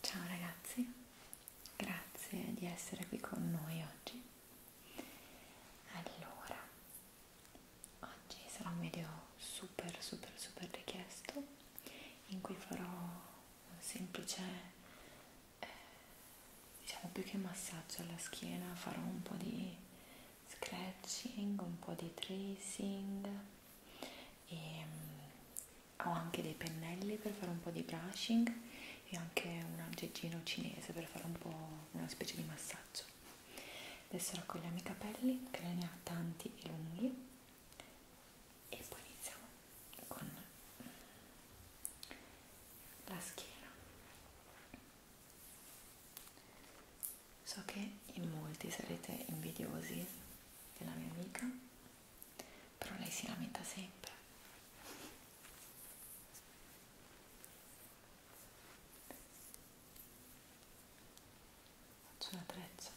Ciao ragazzi, grazie di essere qui con noi oggi. Allora, oggi sarà un video super super super richiesto in cui farò un semplice eh, diciamo più che massaggio alla schiena farò un po' di scratching un po' di tracing e ehm, mh, ho anche dei pennelli per fare un po' di brushing e anche un aggeggino cinese per fare un po' una specie di massaggio adesso raccogliamo i capelli che ne ha tanti e lunghi e poi iniziamo con la schiena so che in molti sarete invidiosi della mia amica però lei si lamenta sempre faccio la treccia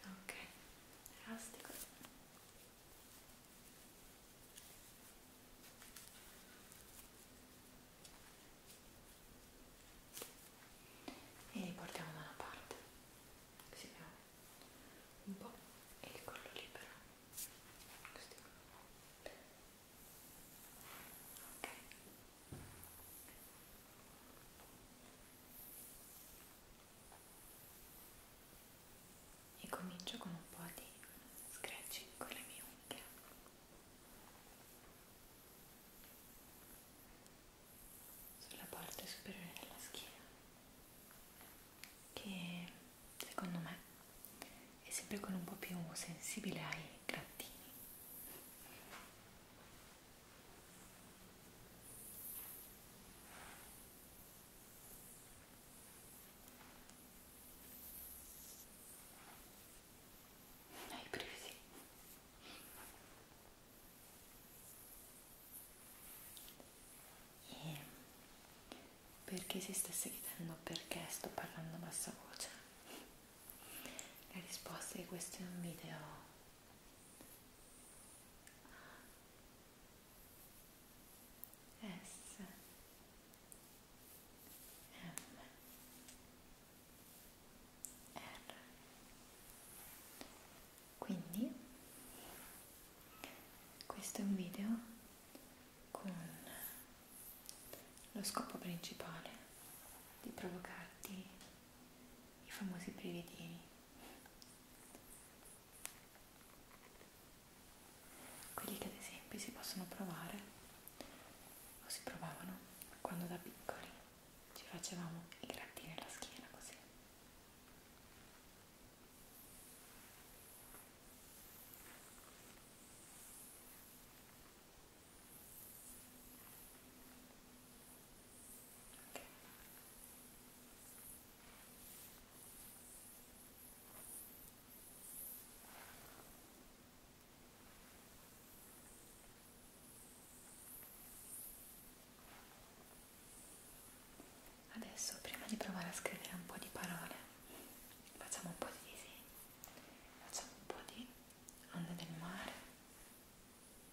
ok elastico e li portiamo da una parte così abbiamo un po' e il collo libero così ok e comincio con un po' di scratching con le mie unghie sulla parte superiore della schiena che secondo me è sempre con un po' più sensibile ai grattini hai presi e perché si stesse chiedendo perché sto parlando a bassa voce la risposta di questo è un video S M R quindi questo è un video con lo scopo principale di provocarti i famosi brividini. Quelli che ad esempio si possono provare o si provavano quando da piccoli ci facevamo i grattini alla schiena così. Okay. Adesso prima di provare a scrivere un po' di parole, facciamo un po' di disegni, facciamo un po' di onde del mare.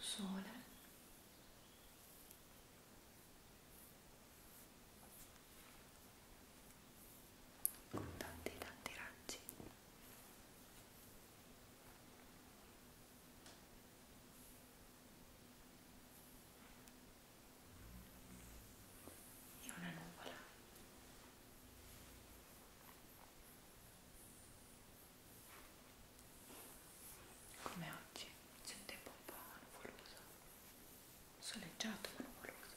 Sole. Con tanti tanti raggi e una nuvola come oggi c'è un tempo un po' nuvoloso soleggiato ma nuvoloso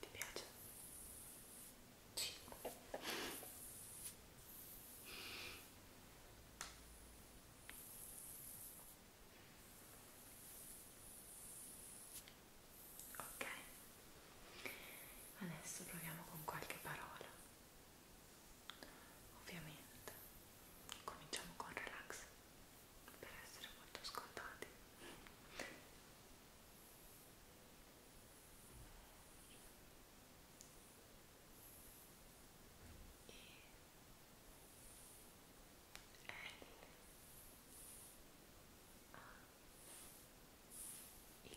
Ti piace? Sì. Ok, adesso proviamo con qualche parola. Ovviamente cominciamo con relax per essere molto scontati e L A X e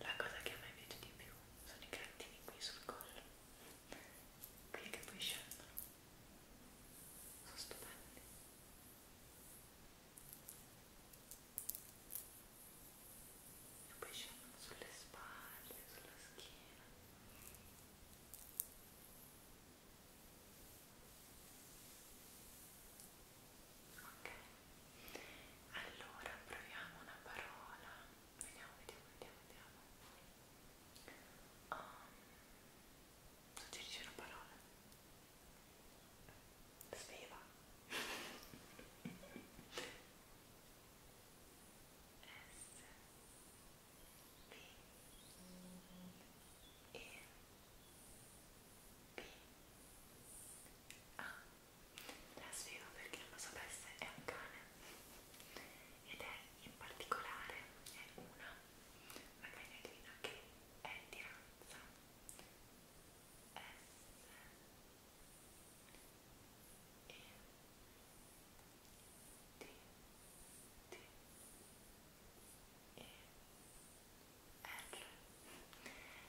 La cosa che a me piace di più sono i grattini qui sul collo, qui che poi scendono, sono stupendi. E poi scendono sulle spalle, sulla schiena. Ok, allora proviamo una parola. Vediamo, vediamo, vediamo, vediamo. Um, suggerisci una parola. Sveva. S B E B ah, A la spiego perché non lo sapesse è un cane ed è in particolare è una una cagnatina che è di razza S E D D e L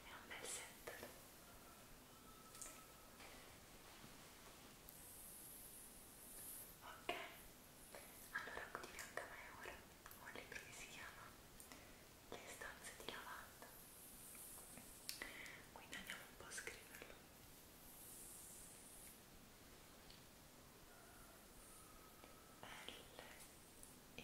è un bel set ok allora qui di fianco a me ora ho un libro che si chiama Le stanze di lavanda quindi andiamo un po' a scriverlo L E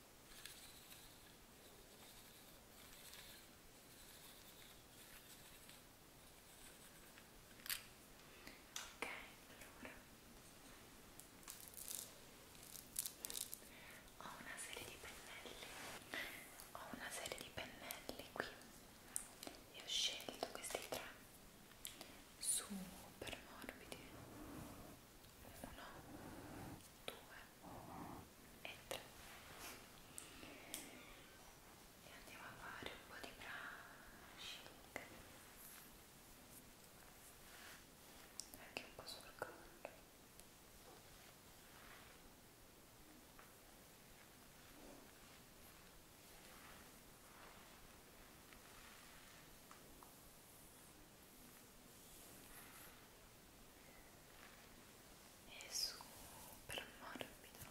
Ok, allora ho una serie di pennelli, ho una serie di pennelli qui e ho scelto questi tre super morbidi uno, due e 3 e andiamo a fare un po' di brushing anche un po' sul collo e è super morbido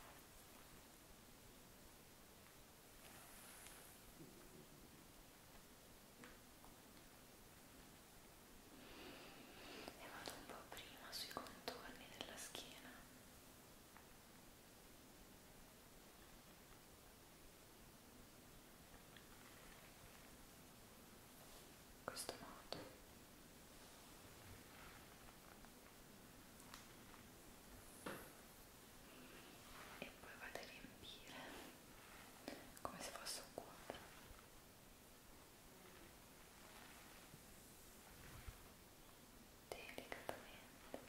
e vado un po' prima sui contorni della schiena e questo modo e poi vado a riempire come se fosse un quadro delicatamente e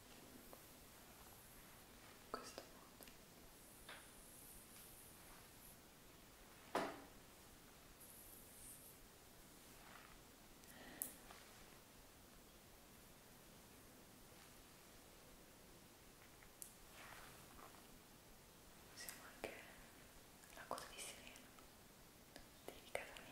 in questo modo usiamo anche la coda di sirena delicatamente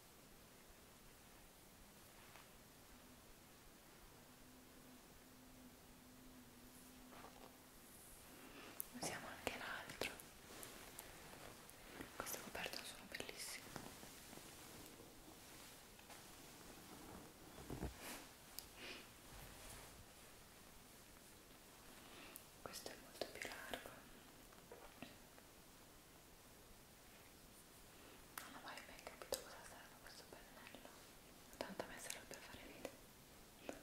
Usiamo anche l'altro. Queste coperte sono bellissime. Questo è molto più largo. Non ho mai ben capito cosa serve questo pennello, tanto a me serve per fare video. Ecco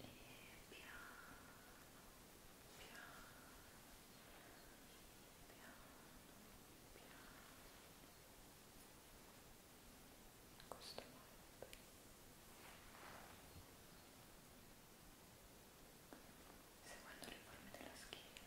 e piano piano piano piano questo modo seguendo le forme della schiena e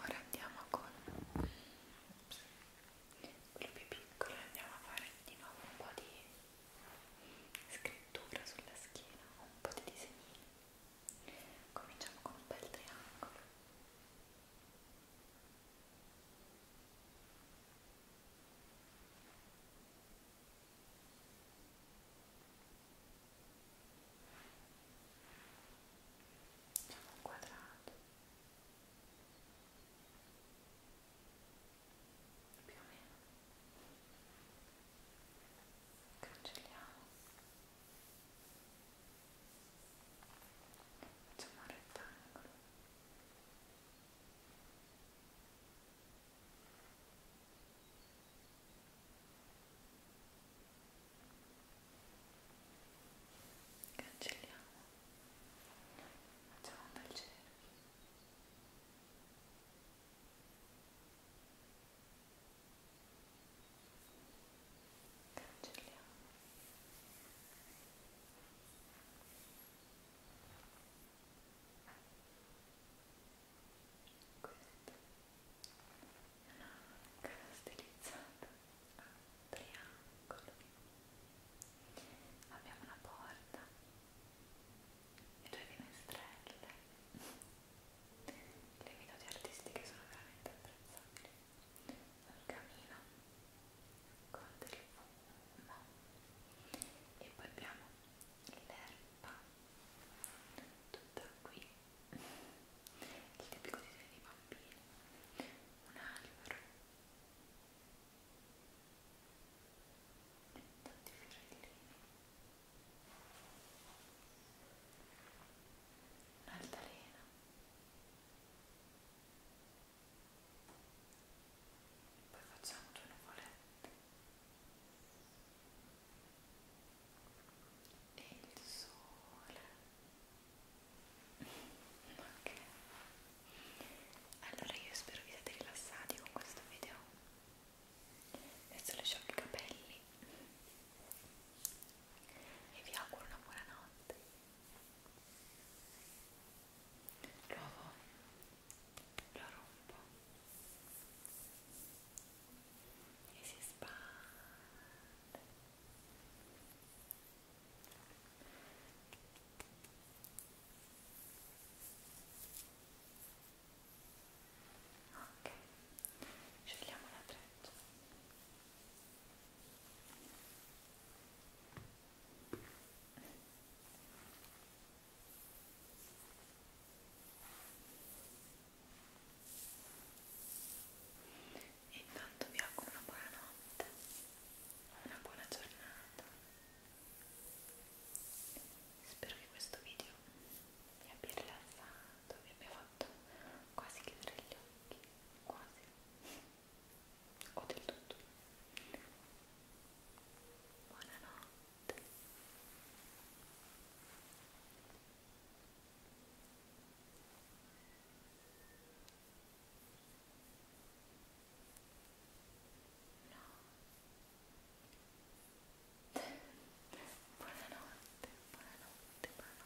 Ora andiamo con Ops. quello più piccolo andiamo a fare di nuovo un po' di scrittura sulla schiena, un po' di disegnini. Cominciamo con un bel triangolo. Facciamo un quadrato più o meno cancelliamo facciamo un rettangolo cancelliamo facciamo un bel cerchio Ecco cancelliamo questa è una cara stilizzata a triangolo abbiamo una porta e due finestrelle le minuti artistiche sono veramente apprezzabili l'orgamino con del fumo e poi abbiamo l'erba tutta qui il tipico disegno dei bambini un albero tanti fiorellini un'altalena poi facciamo due nuvolette e il sole ok allora io spero vi siate rilassati con questo video adesso le sciocco i capelli e vi auguro una buona notte L'uovo lo rompo e si spande. Ok, scegliamo la treccia. Intanto vi auguro una buona notte, una buona giornata. Spero che questo video vi abbia rilassato, vi abbia fatto quasi chiudere gli occhi, quasi o del tutto. Buonanotte. No. Buonanotte, buonanotte, buonanotte.